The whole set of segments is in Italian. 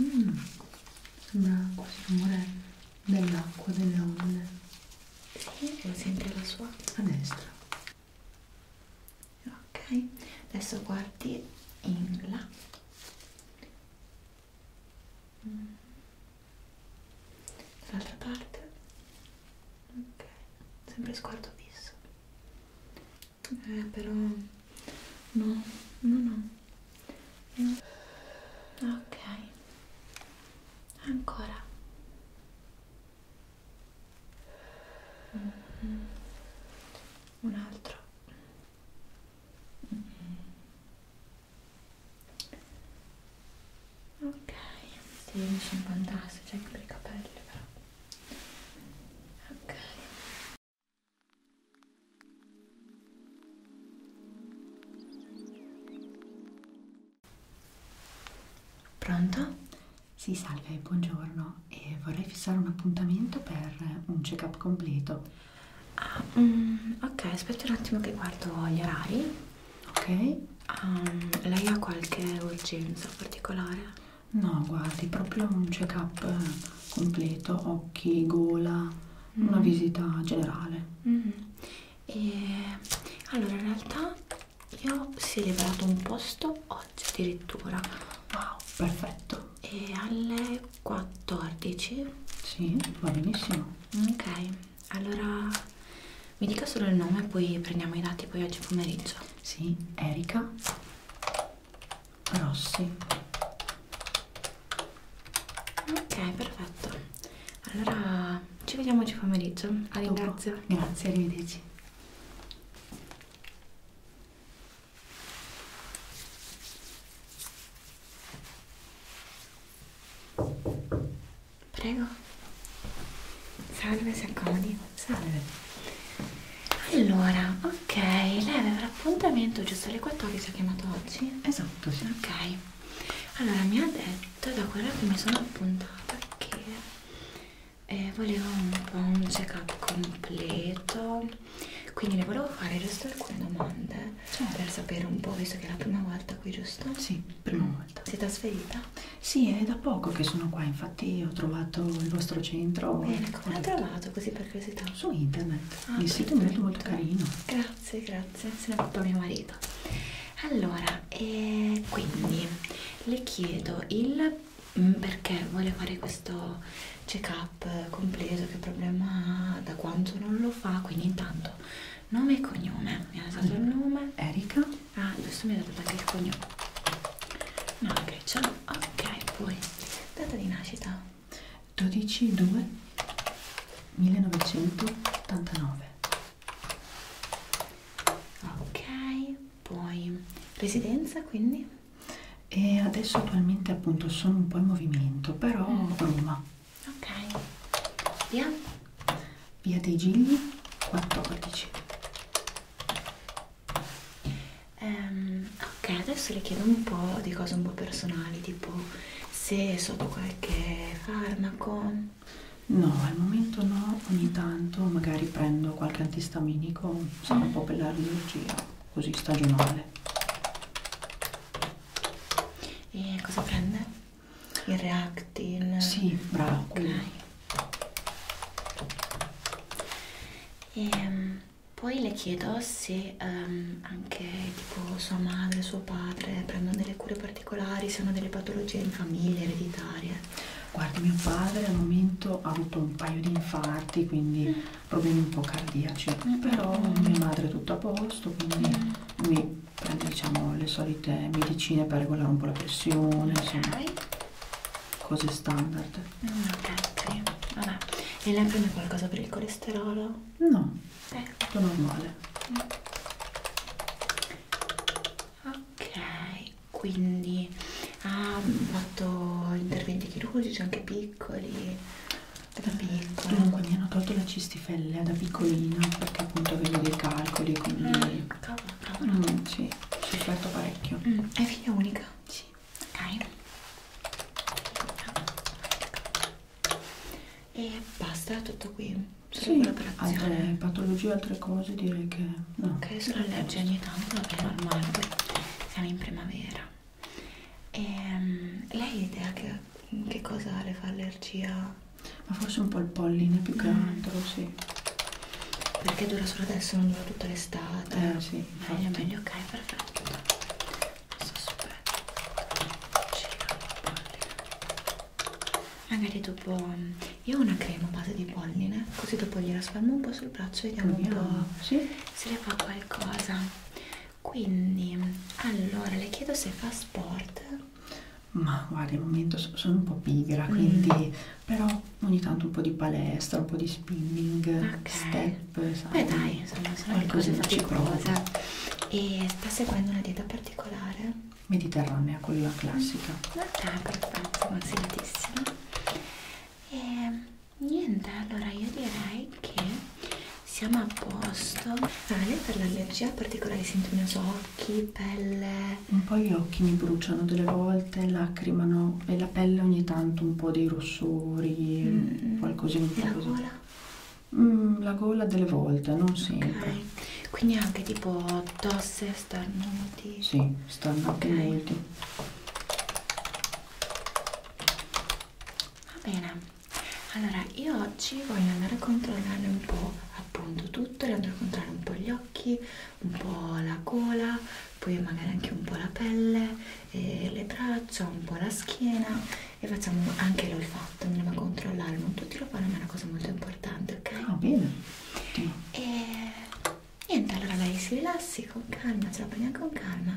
Mm, sembra quasi il rumore dell'acqua, delle onde. Sì, lo senti la sua? A destra. Ok, adesso guardi in là. Mm. Dall'altra parte. Ok, sempre sguardo fisso eh però no no no, no. ok ancora mm -hmm. un altro mm -hmm. ok sì, sono fantastici anche per i capelli però ok Pronto? Sì, salve, buongiorno. E vorrei fissare un appuntamento per un check-up completo. Ah, mm, ok, aspetti un attimo che guardo gli orari. Ok. Um, lei ha qualche urgenza particolare? No, guardi, proprio un check-up completo, occhi, gola, mm. una visita generale. Mm. E allora, in realtà io si è liberato un posto oggi addirittura. Wow, perfetto. E alle 14? Sì, va benissimo. Ok, allora mi dica solo il nome, poi prendiamo i dati poi oggi pomeriggio. Sì, Erika rossi ok perfetto allora ci vediamo oggi pomeriggio la ringrazio Dopo. grazie arrivederci Prego. Salve, si accomodi. Salve allora ok lei aveva l'appuntamento giusto alle 14 ha chiamato oggi esatto sì. ok allora mi ha detto da quello che mi sono appuntata che eh, volevo un po' un check up completo quindi le volevo fare giusto alcune domande certo. per sapere un po' visto che è la prima volta qui giusto? sì prima volta si è trasferita? sì è da poco che sono qua infatti ho trovato il vostro centro bene come l'ha trovato così per curiosità? su internet ah, il sito è molto molto carino grazie grazie se ne fatto mio marito allora eh, quindi le chiedo il mm, perché vuole fare questo check up completo che problema ha da quanto non lo fa quindi intanto nome e cognome mi ha dato allora, il nome Erika ah giusto mi ha dato anche il cognome no che okay, ce l'ho ok poi data di nascita 12 2 1989 ok poi residenza quindi e adesso attualmente appunto sono un po' in movimento però mm. Roma ok via via dei Gigli 14 Um, ok, adesso le chiedo un po' di cose un po' personali, tipo se sotto qualche farmaco. No, al momento no, ogni tanto magari prendo qualche antistaminico, sono mm. un po' per l'allergia, così stagionale. E cosa prende? Il Reactin? Sì, bravo. Ok. E, um, poi le chiedo se um, anche tipo sua madre, suo padre prendono delle cure particolari, se hanno delle patologie in famiglia, ereditarie. Guardi, mio padre al momento ha avuto un paio di infarti, quindi mm. problemi un po' cardiaci, mm. mm però mm, mm. mia madre è tutto a posto, quindi mm. mi prende diciamo, le solite medicine per regolare un po' la pressione, okay. insomma, cose standard non ho catteri vabbè e lei prende qualcosa per il colesterolo? no è eh. tutto normale ok quindi ha fatto interventi chirurgici anche piccoli da eh, piccola dunque mi hanno tolto la cistifellea da piccolina perché appunto avevo dei calcoli quindi mm, cavolo, cavolo. Mm, sì, ci ho fatto parecchio mm. è figlia unica? sì ok e basta tutto qui solo sì, altre patologie altre cose direi che no ok solo allergie ogni tanto è normale siamo in primavera e ehm, lei ha idea che, che cosa le fa allergia ma forse un po' il polline più che mm. altro sì perché dura solo adesso non dura tutta l'estate eh sì meglio infatti. meglio ok perfetto Magari dopo io ho una crema base di polline, così dopo gliela spalmo un po' sul braccio e vediamo un po' sì. se le fa qualcosa. Quindi, allora le chiedo se fa sport. Ma guarda, al momento sono un po' pigra, quindi mm. però ogni tanto un po' di palestra, un po' di spinning, okay. step poi insomma, Beh dai, insomma, sono le cose faticosa. E sta seguendo una dieta particolare? Mediterranea, quella classica. Ah, perfetto, consigliatissima. E ehm, niente, allora io direi che siamo a posto. Ah, lei per l'allergia particolare sente i miei occhi, pelle. Un po' gli occhi mi bruciano delle volte, lacrimano mano e la pelle ogni tanto un po' dei rossori, mm. qualcosina di La gola? Mm, la gola delle volte, non sempre. Okay. Quindi anche tipo tosse, starnuti? Sì, starnuti okay. molti. Va bene. Allora, io oggi voglio andare a controllare un po' appunto tutto, voglio andare a controllare un po' gli occhi, un po' la gola poi magari anche un po' la pelle, e le braccia, un po' la schiena e facciamo anche l'olfatto, andiamo a controllare, non tutti lo fanno ma è una cosa molto importante, ok? Ah, bene. E niente, allora lei si rilassi con calma, ce la prendiamo con calma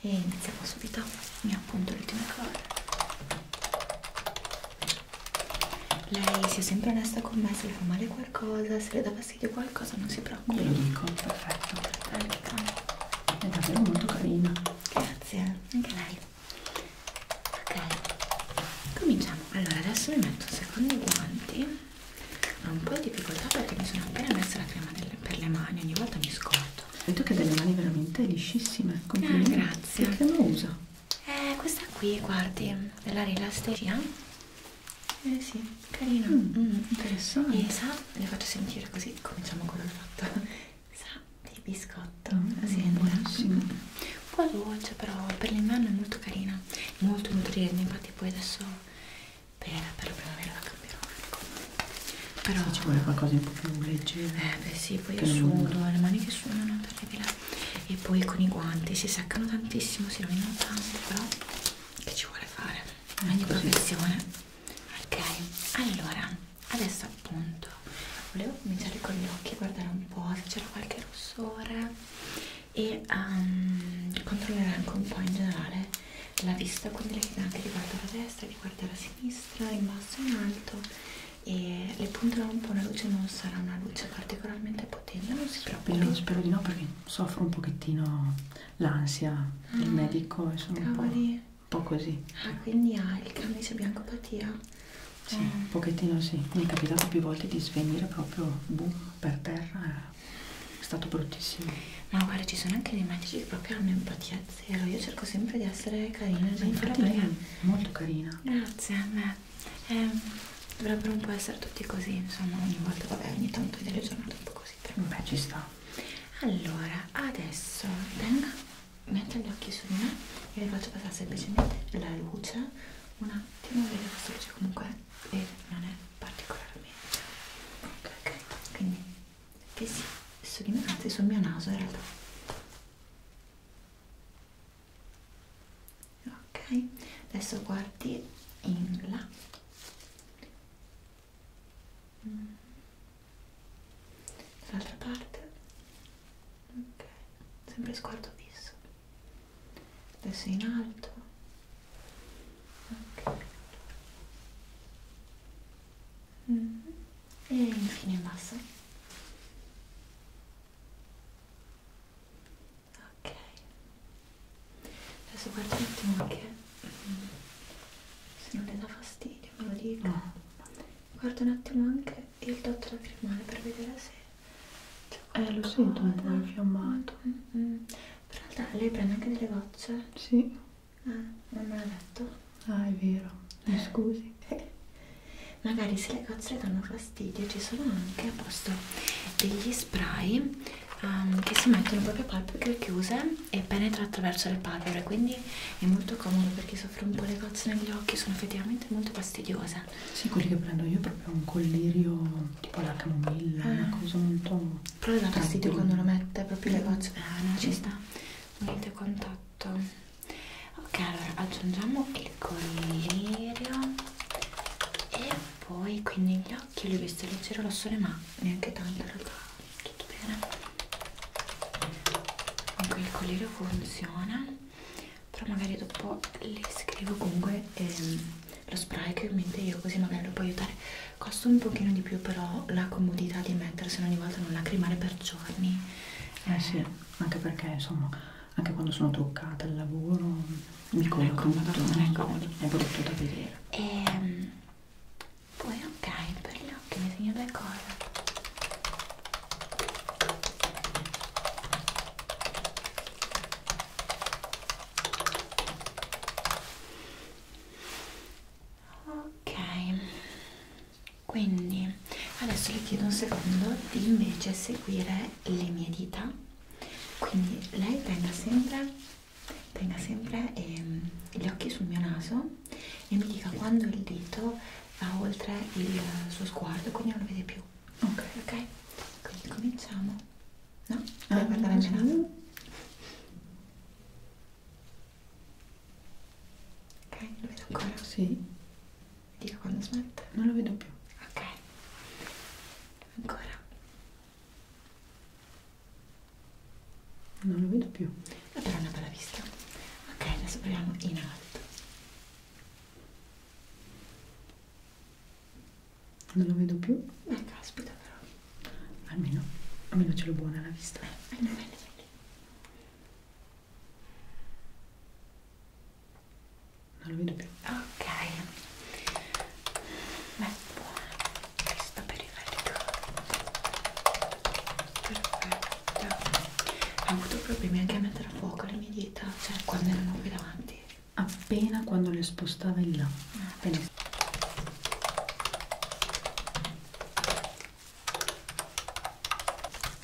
e iniziamo subito, mi appunto l'ultima cosa. Lei sia sempre onesta con me, se le fa male qualcosa, se le dà fastidio qualcosa non si preoccupa. Glielo dico, perfetto. Perché è davvero molto carina grazie anche lei ok cominciamo allora adesso mi metto un secondo i guanti ho un po' di difficoltà perché mi sono appena messa la crema delle, per le mani ogni volta mi scordo sento che ha delle mani veramente liscissime ah, complimenti ah, grazie che crema usa? eh questa qui guardi della rilasteria eh sì carina mm, mm. interessante e sa esatto le faccio sentire così cominciamo con il fatto sa di biscotto mm, sembra mm, un po' dolce però per l'inverno è molto carina molto nutriente infatti poi adesso per, per la primavera la cambierò ecco. però sì, ci vuole qualcosa un po' più leggero eh beh sì poi io sudo le mani che suonano terribile e poi con i guanti si seccano tantissimo si rovinano tanto però che ci vuole fare eh, ogni professione ok allora adesso appunto volevo cominciare con gli occhi guardare un po' se c'era qualche rossore e um, controllare anche un po' in generale la vista quindi lei anche riguardo la destra riguardo la sinistra in basso in alto e le punterò un po' una luce non sarà una luce particolarmente potente non si preoccupi spero, spero di no perché soffro un pochettino l'ansia mm. il medico e sono Cavoli. un po' po' così. Ah, quindi ha il camice biancopatia? Sì, ah. un eh. pochettino sì. Mi è capitato più volte di svenire proprio boom, per terra, è stato bruttissimo. Ma guarda, ci sono anche dei medici che proprio hanno empatia zero. Io cerco sempre di essere carina. Ma infatti lei è molto carina. Grazie, beh. Eh, dovrebbero un po' essere tutti così, insomma, ogni volta, vabbè, ogni tanto delle giornate un po' così così beh ci sta allora adesso tenga metto gli occhi su di me e vi faccio passare semplicemente la luce un attimo vedete questa luce comunque non è particolarmente ok ok quindi che si su di me anzi sul mio naso in realtà ok adesso guardi in là mm. dall'altra parte ok sempre sguardo fisso adesso in alto ok mm. e infine in basso ok adesso guarda un attimo anche se non le dà fastidio me lo dica no. guarda un attimo anche il dotto da firmare per vedere se eh lo sento un po' infiammato mm, mm, mm. però in realtà lei prende anche delle gocce? sì ah, non me l'ha detto ah è vero mi eh. scusi magari se le gocce danno fastidio ci sono anche a posto degli spray um, che si mettono proprio a palpebre chiuse e penetra attraverso le palpebre quindi è molto comodo per chi soffre un po' le cozze negli occhi sono effettivamente molto fastidiose sì quelli che prendo io è proprio un collirio tipo la camomilla ah. una cosa molto però le dà fastidio quando lo mette proprio le mm. cozze ah no ci mm. sta niente contatto ok allora aggiungiamo il collirio e poi qui negli occhi li ho visto leggero rosso ma neanche tanto in realtà tutto bene anche il colliere funziona però magari dopo le scrivo comunque ehm, lo spray che ho in mente io così magari lo può aiutare costa un pochino di più però la comodità di metterselo ogni volta non lacrimare per giorni eh, eh sì anche perché insomma anche quando sono truccata al lavoro mi coloco ecco, ecco. molto, è brutto da vedere e ehm, poi ok per gli occhi disegno due cose ok quindi adesso le chiedo un secondo di invece seguire le mie dita quindi lei tenga sempre tenga sempre ehm, gli occhi sul mio naso e mi dica quando il dito va oltre il suo sguardo, quindi non lo vede più. Ok, ok? Quindi cominciamo. No? Allora, ah, guardare il mio naso. Ok, lo vedo ancora? Sì. Dica quando smette. Non lo vedo più. Ok. Ancora non lo vedo più eh, però è una bella vista ok adesso proviamo in alto non lo vedo più eh caspita però almeno almeno ce l'ho buona la vista eh, bene, bene, bene. non lo vedo più ok beh buona questa periferica perfetto ho avuto problemi anche a mettere a fuoco le mie dita cioè quando erano qui davanti appena quando le spostava in là appena. Ah.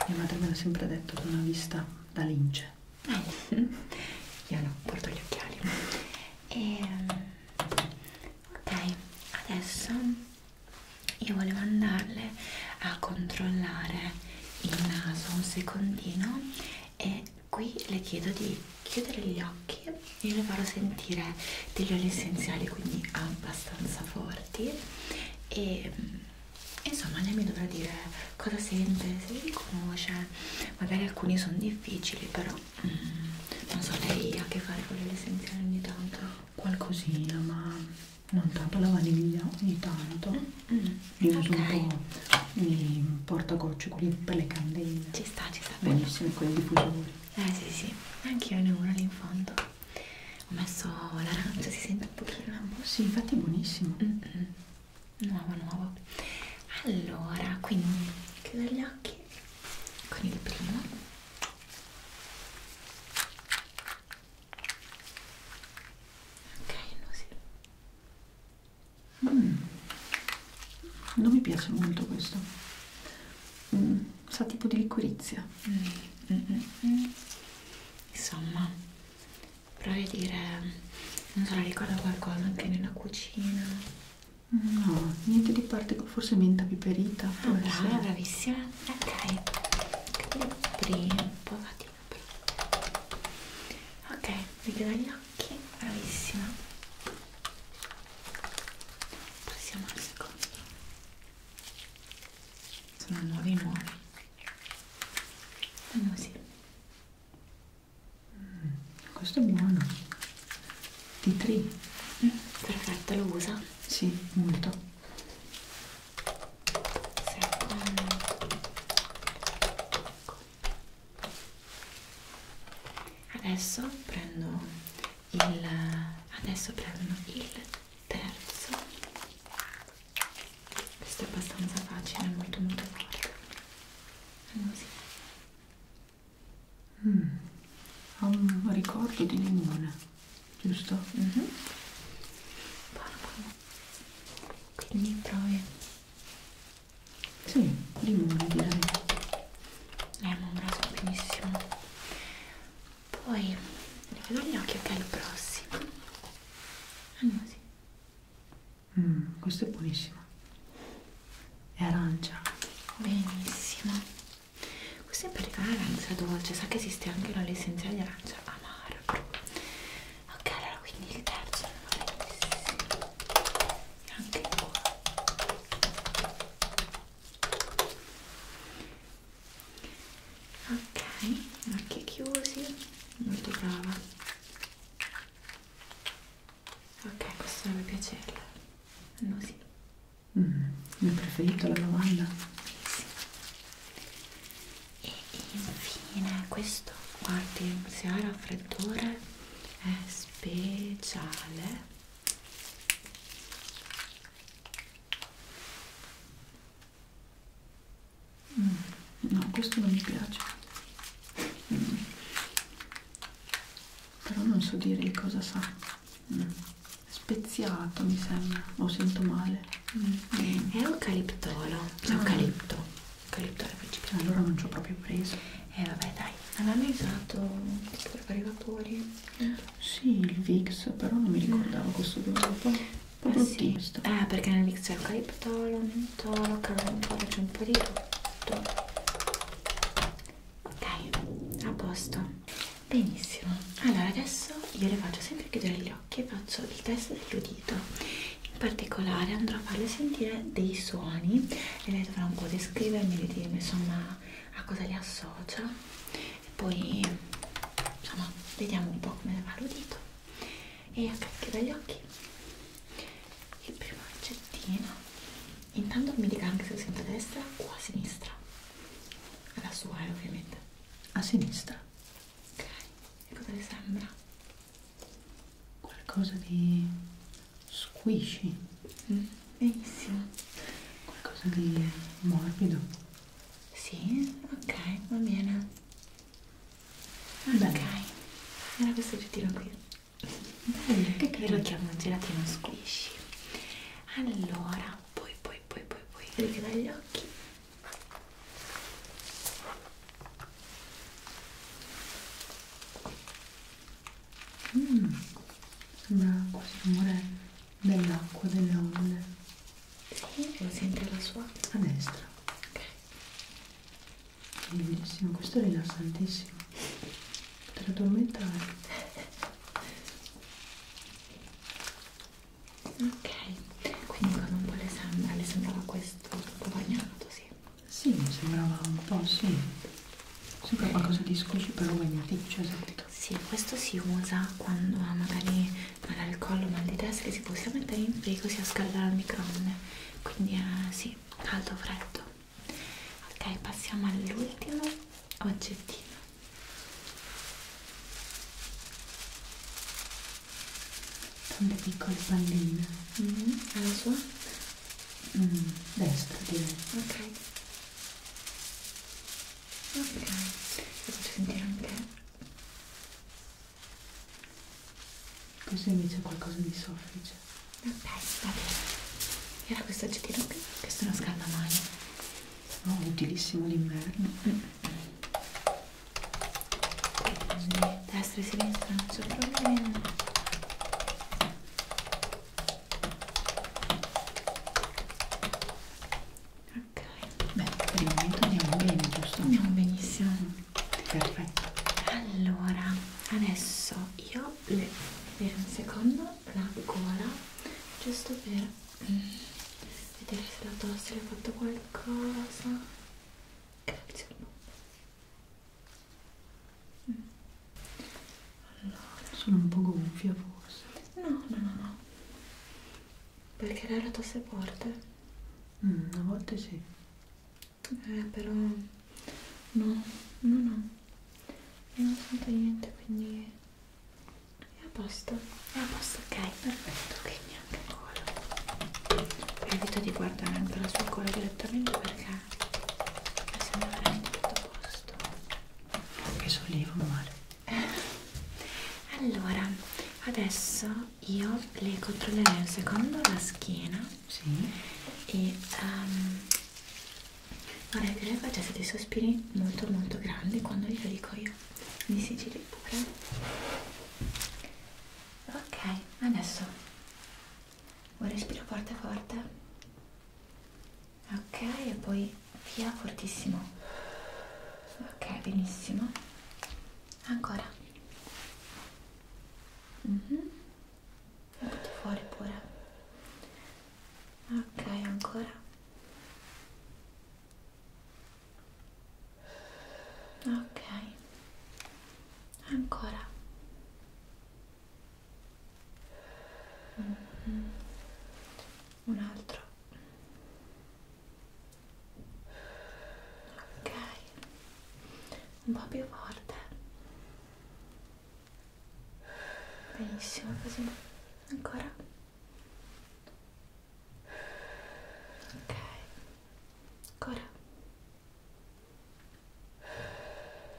mia madre me l'ha sempre detto con una vista da lince ah. io no, porto gli occhiali e ehm, ok, adesso io volevo andarle a controllare il naso un secondino e qui le chiedo di chiudere gli occhi io le farò sentire degli oli essenziali quindi abbastanza forti e mm, insomma lei mi dovrà dire cosa sente se li conosce magari alcuni sono difficili però mm, non so lei ha a che fare con gli oli essenziali ogni tanto qualcosina, ma non tanto la vaniglia, ogni tanto. Mm -hmm. Io uso okay. un po' i portagocci, quelli per le candele. Ci sta, ci sta. Benissimi quelli diffusori. Eh sì sì, anche io ne ho uno lì in fondo. Ho messo l'arancia, si sente un pochino. Ah, boh, sì, infatti è buonissimo. Mm -hmm. Nuovo, nuovo. Allora, quindi chiudo gli occhi con il primo ok mm. non mi piace molto questo mm. sa tipo di liquirizia mm. Mm -mm -mm. insomma provi a dire non so la ricorda qualcosa anche nella cucina no niente di parte forse menta piperita ah, brava, bravissima ok devo aprire un po' la ok vedo gli occhi bravissima passiamo al secondo sono nuovi nuovi fanno ah, così mm, questo è buono Tea tree. Mm, perfetto, lo usa? Sì, molto. Sì. Adesso prendo il adesso prendo il terzo. Questo è abbastanza facile, molto molto forte. Allora, sì. Mm, ha un ricordo di limone, giusto? Mm -hmm. Quindi provi. Sì, limone direi. Eh, Abbiamo un braso benissimo. Poi richiudo gli occhi e poi il prossimo. Andiamo ah, sì. Mm, questo è buonissimo. È arancia. Benissimo. Questo in particolare arancia dolce, sa che esiste anche una l'essenziale di arancia amaro. Ok, allora quindi il terzo non è anche qua. Ok, occhi chiusi, molto brava. Ok, questo deve piacerle. No, sì. Mm, il mio preferito la lavanda. Sì. E infine questo, guardi, se ha raffreddore è speciale. Mm, no, questo non mi piace. Mm. Però non so dire di cosa sa mm. speziato mi sembra o sento male mm. Mm. è eucaliptolo ah. eucalipto eucalipto principale allora non ci ho proprio preso e eh, vabbè dai non hanno usato tipo per fare i vapori eh. sì il Vix però non mi ricordavo mm. questo dopo eh, ah, sì. eh perché nel mix c'è eucaliptolo, mentolo, carambollo, c'è un po' di tutto ok, a posto Benissimo, allora adesso io le faccio sempre chiudere gli occhi e faccio il test dell'udito. In particolare andrò a farle sentire dei suoni e lei dovrà un po' descrivermi, di dirmi insomma a cosa li associa e poi insomma vediamo un po' come va l'udito. E ok, chiudo gli occhi. Il primo accettino. Intanto mi dica anche se sento a destra o a sinistra alla sua eh, ovviamente a sinistra ok e cosa le sembra? qualcosa di squishy mm, benissimo qualcosa di morbido sì ok va bene Bene. ok era questo oggettino qui Bene. che credo chiamo gelatino squishy allora poi poi poi poi poi richiudere gli occhi mm, sembra quasi il rumore dell'acqua delle onde sì, lo sente la sua a destra ok bellissimo questo è rilassantissimo potrei addormentare Ok, quindi con un po' le sandali le sembrava questo tutto bagnato, sì? Sì, mi sembrava un po', sì. Sembra qualcosa di squishy però magnetico, esatto. Sì, questo si usa quando ha ah, magari mal al collo, mal di testa, che si può sia mettere in frigo sia scaldare al microonde. Quindi eh, sì, caldo freddo. Ok, passiamo all'ultimo oggettino. Tante piccole palline. Mm -hmm. Alla sua? Mm, destra direi. Ok. Ok. Lo faccio sentire anche. Così invece è qualcosa di soffice. Ok, va bene. Era questo aggettivo qui? Questo è uno scaldamano oh, utilissimo l'inverno mm. destra e sinistra non c'è problema ok beh per il momento andiamo bene giusto? andiamo benissimo perfetto allora adesso io le per un secondo la gola giusto per vedere se la tosse le ha fatto qualcosa grazie al nome allora sono un po' gonfia forse no no no no perché lei la tosse forte mm, a volte sì eh però no no no non ho sentito niente quindi è a posto, è a posto, ok, perfetto, quindi anche quello. Evito di guardare anche la sua cola direttamente perché mi sembra veramente tutto a posto. Anche sollievo male. Allora, adesso io le controllerei un secondo la schiena sì. e um, vorrei che lei facesse dei sospiri molto molto grandi quando glielo dico io mi sigilli pure ok adesso un respiro forte forte ok e poi via fortissimo ok benissimo ancora mm -hmm. un po' fuori pure ok ancora ok ancora mm -hmm. un altro ok un po' più forte benissimo così ancora ok ancora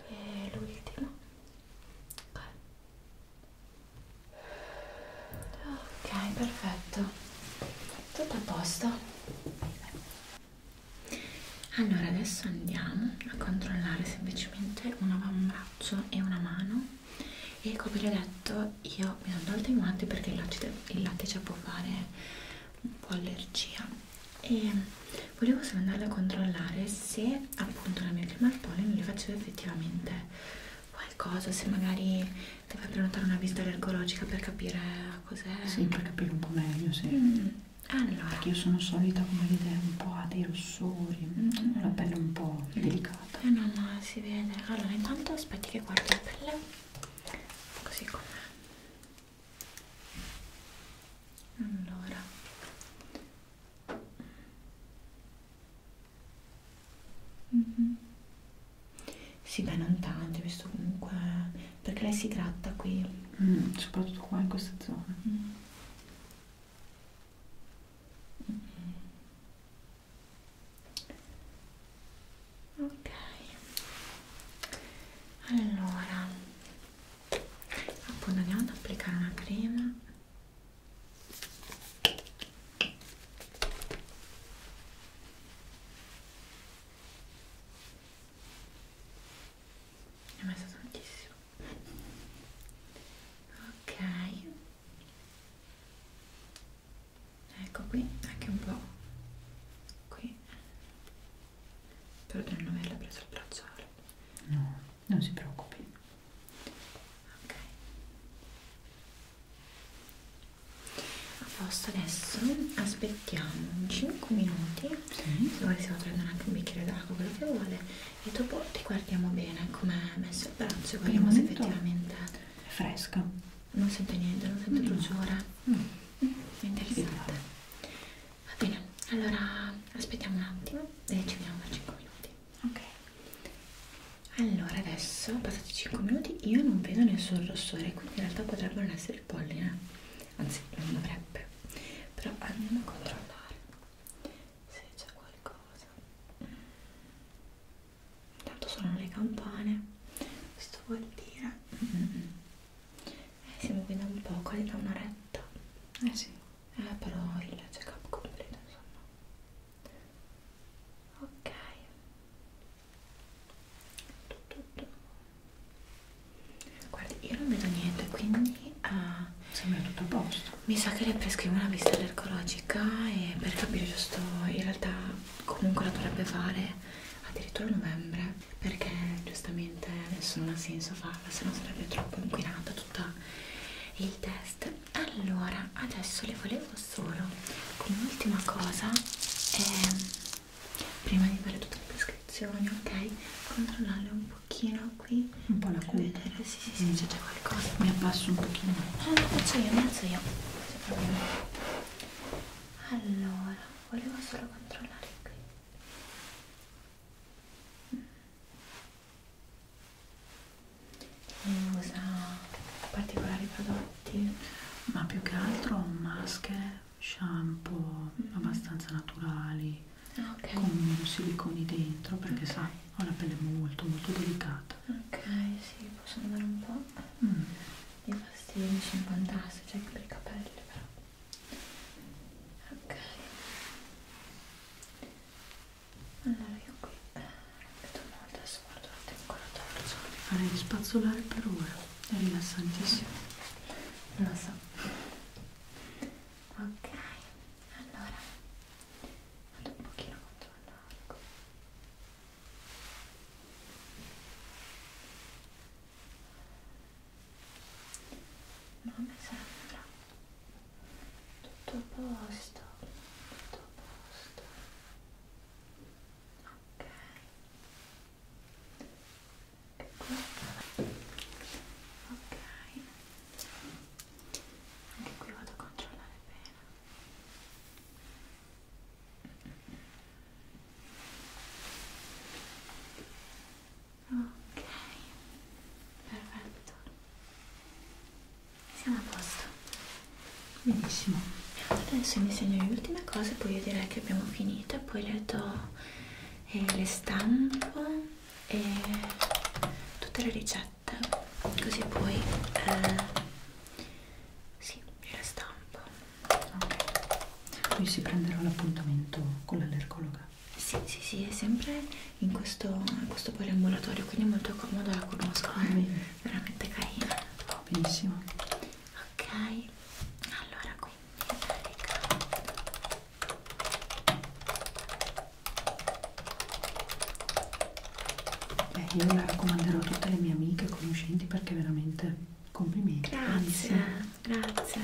e l'ultimo ok ok perfetto tutto a posto allora adesso andiamo a controllare semplicemente un avambraccio e una mano e come vi ho detto io mi sono tolta i guanti perché il, latte, il lattice può fare un po' allergia e volevo solo andarla a controllare se appunto la mia crema al polline le faceva effettivamente qualcosa se magari deve prenotare una visita allergologica per capire cos'è sì per capire un po' meglio sì mm. allora perché io sono solita come vedere un po' a dei rossori mm. una pelle un po' delicata vabbè non la si vede allora intanto aspetti che guardi la pelle così com'è allora mm -hmm. sì beh non tanto visto comunque eh, perché lei si gratta qui mm, soprattutto qua in questa zona mm. Mm -hmm ok allora appunto andiamo ad applicare una crema ne ho messa tantissimo ok ecco qui anche un po' qui spero di non averla presa il bracciale no non si preoccupi ok a posto adesso aspettiamo 5 minuti sì. se vuoi si può prendere anche un bicchiere d'acqua quello che vuole e dopo ti guardiamo bene come è messo il braccio guardiamo se effettivamente è fresca. Non sento niente, non sento bruciore. No. Mm. Interessante. Va bene, allora aspettiamo un attimo e ci vediamo per 5 minuti. Ok. Allora adesso, passati 5 minuti, io non vedo nessun rossore, quindi in realtà potrebbe non essere il polline. Eh. Anzi, non dovrebbe. Però andiamo a controllare se c'è qualcosa intanto suonano le campane questo vuol dire mm. eh, siamo qui da un po' quasi da un'oretta eh sì eh però il check up completo insomma ok tu, tu, tu. guardi io non vedo niente quindi uh, sembra tutto a posto mi sa che le prescrivo una visita allergologica e per capire giusto in realtà comunque la dovrebbe fare addirittura a novembre perché giustamente adesso non ha senso farla se no sarebbe troppo inquinata tutta il test allora adesso le volevo solo come ultima cosa eh, prima di fare tutte le prescrizioni ok controllare un pochino qui un po' la cupe sì, sì, c'è già qualcosa. Mi abbasso un pochino. Ah, lo faccio io, mi alzo io. Allora, volevo solo controllare qui. Mm. Usa particolari prodotti? Ma più che altro maschere, shampoo mm. abbastanza naturali. Ah, okay. con siliconi dentro perché okay. sa ho la pelle molto molto delicata ok sì possono dare un po' mm. i pastigli sono fantastici cioè anche per i capelli però ok allora io qui eh, vedo molto adesso guardo la ancora torso farei spazzolare per ora è rilassantissimo lo so ok allora vado un pochino contro l'arco ma mi sembra tutto a posto tutto a posto ok che cosa ok anche qui vado a controllare bene Ok, perfetto. Siamo a posto. Benissimo. Adesso mi segno le ultime cose, poi io direi che abbiamo finito, poi le do e eh, le stampo e tutte le ricette ricette così poi eh, sì, le stampo ok poi si prenderà l'appuntamento con l'allergologa sì sì sì è sempre in questo, questo poliambulatorio quindi è molto comodo la conosco è eh? Ah, veramente carina benissimo ok allora quindi carica eh, io la raccomanderò a tutte le mie amiche e conoscenti perché veramente complimenti. Grazie, grazie.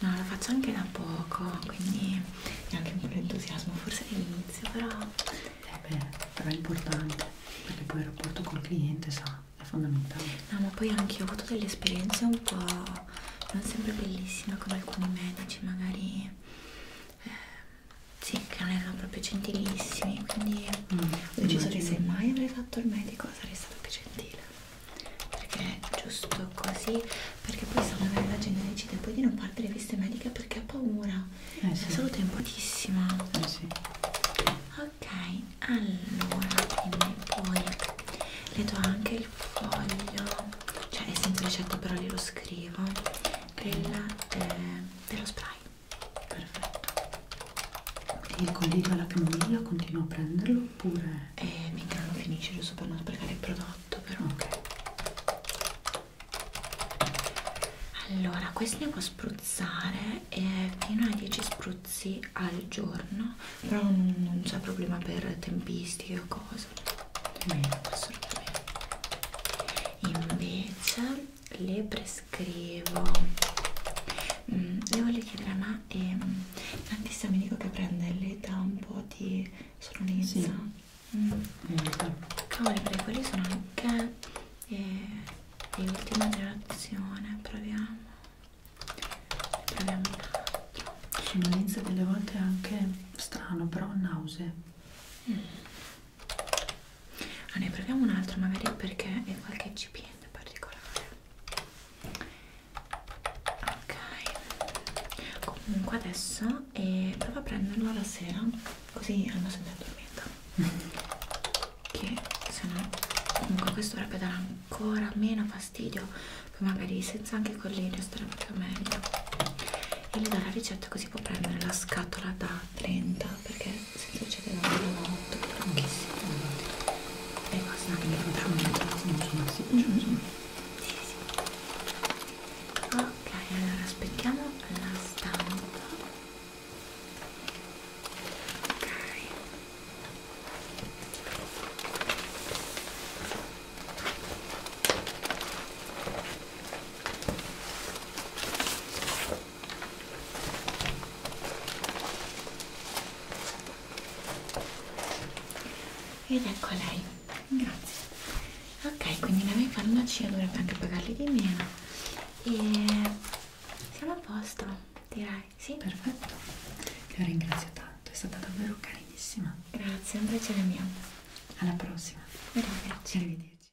No, la faccio anche da poco, quindi neanche molto entusiasmo, forse all'inizio, però... Eh beh, però è importante, perché poi il rapporto col cliente sa, è fondamentale. No, ma poi anche io ho avuto delle esperienze un po' non sempre bellissime con alcuni medici, magari... Eh, sì, che non erano proprio gentilissimi, quindi mm, ho deciso che se mai avrei fatto il medico sarei stata più gentile. Perché è giusto così, perché poi se magari la gente decide poi di non fare delle visite mediche perché ha paura. Eh, sì. La salute è importantissima. Eh, sì. Ok, allora, quindi poi le do anche il foglio, cioè è senza ricetta però glielo scrivo, della, eh, dello spray Perfetto. Il collirio alla camomilla continuo a prenderlo oppure? Eh, mica non finisce giusto per non sprecare il prodotto, però. Ok. Allora, questo ne può spruzzare eh, fino a 10 spruzzi al giorno, però non, non c'è problema per tempistiche o cose. Mm. Assolutamente. Invece le prescrivo mm, le voglio chiedere ma ehm, l'antistaminico che prende le dà un po' di sonnolenza sì. mm. cavolo perché quelli sono anche eh, di ultima generazione proviamo proviamo sonnolenza delle volte è anche strano però nausea mm. Ah, ne proviamo un altro magari perché è qualche GPN particolare. Ok. Comunque adesso eh, provo a prenderlo la sera, così almeno se ne addormenta. che se no comunque questo dovrebbe dare ancora meno fastidio, poi magari senza anche colline starebbe più meglio. E le do la ricetta così può prendere la scatola da 30 perché semplice che la molto franchissima e basta anche ok allora aspettiamo la stampa mm, ok ed ecco lei grazie ok quindi la mia farmacia dovrebbe anche pagarli di meno e siamo a posto direi sì perfetto la ringrazio tanto è stata davvero carinissima grazie un piacere mio alla prossima arrivederci, arrivederci.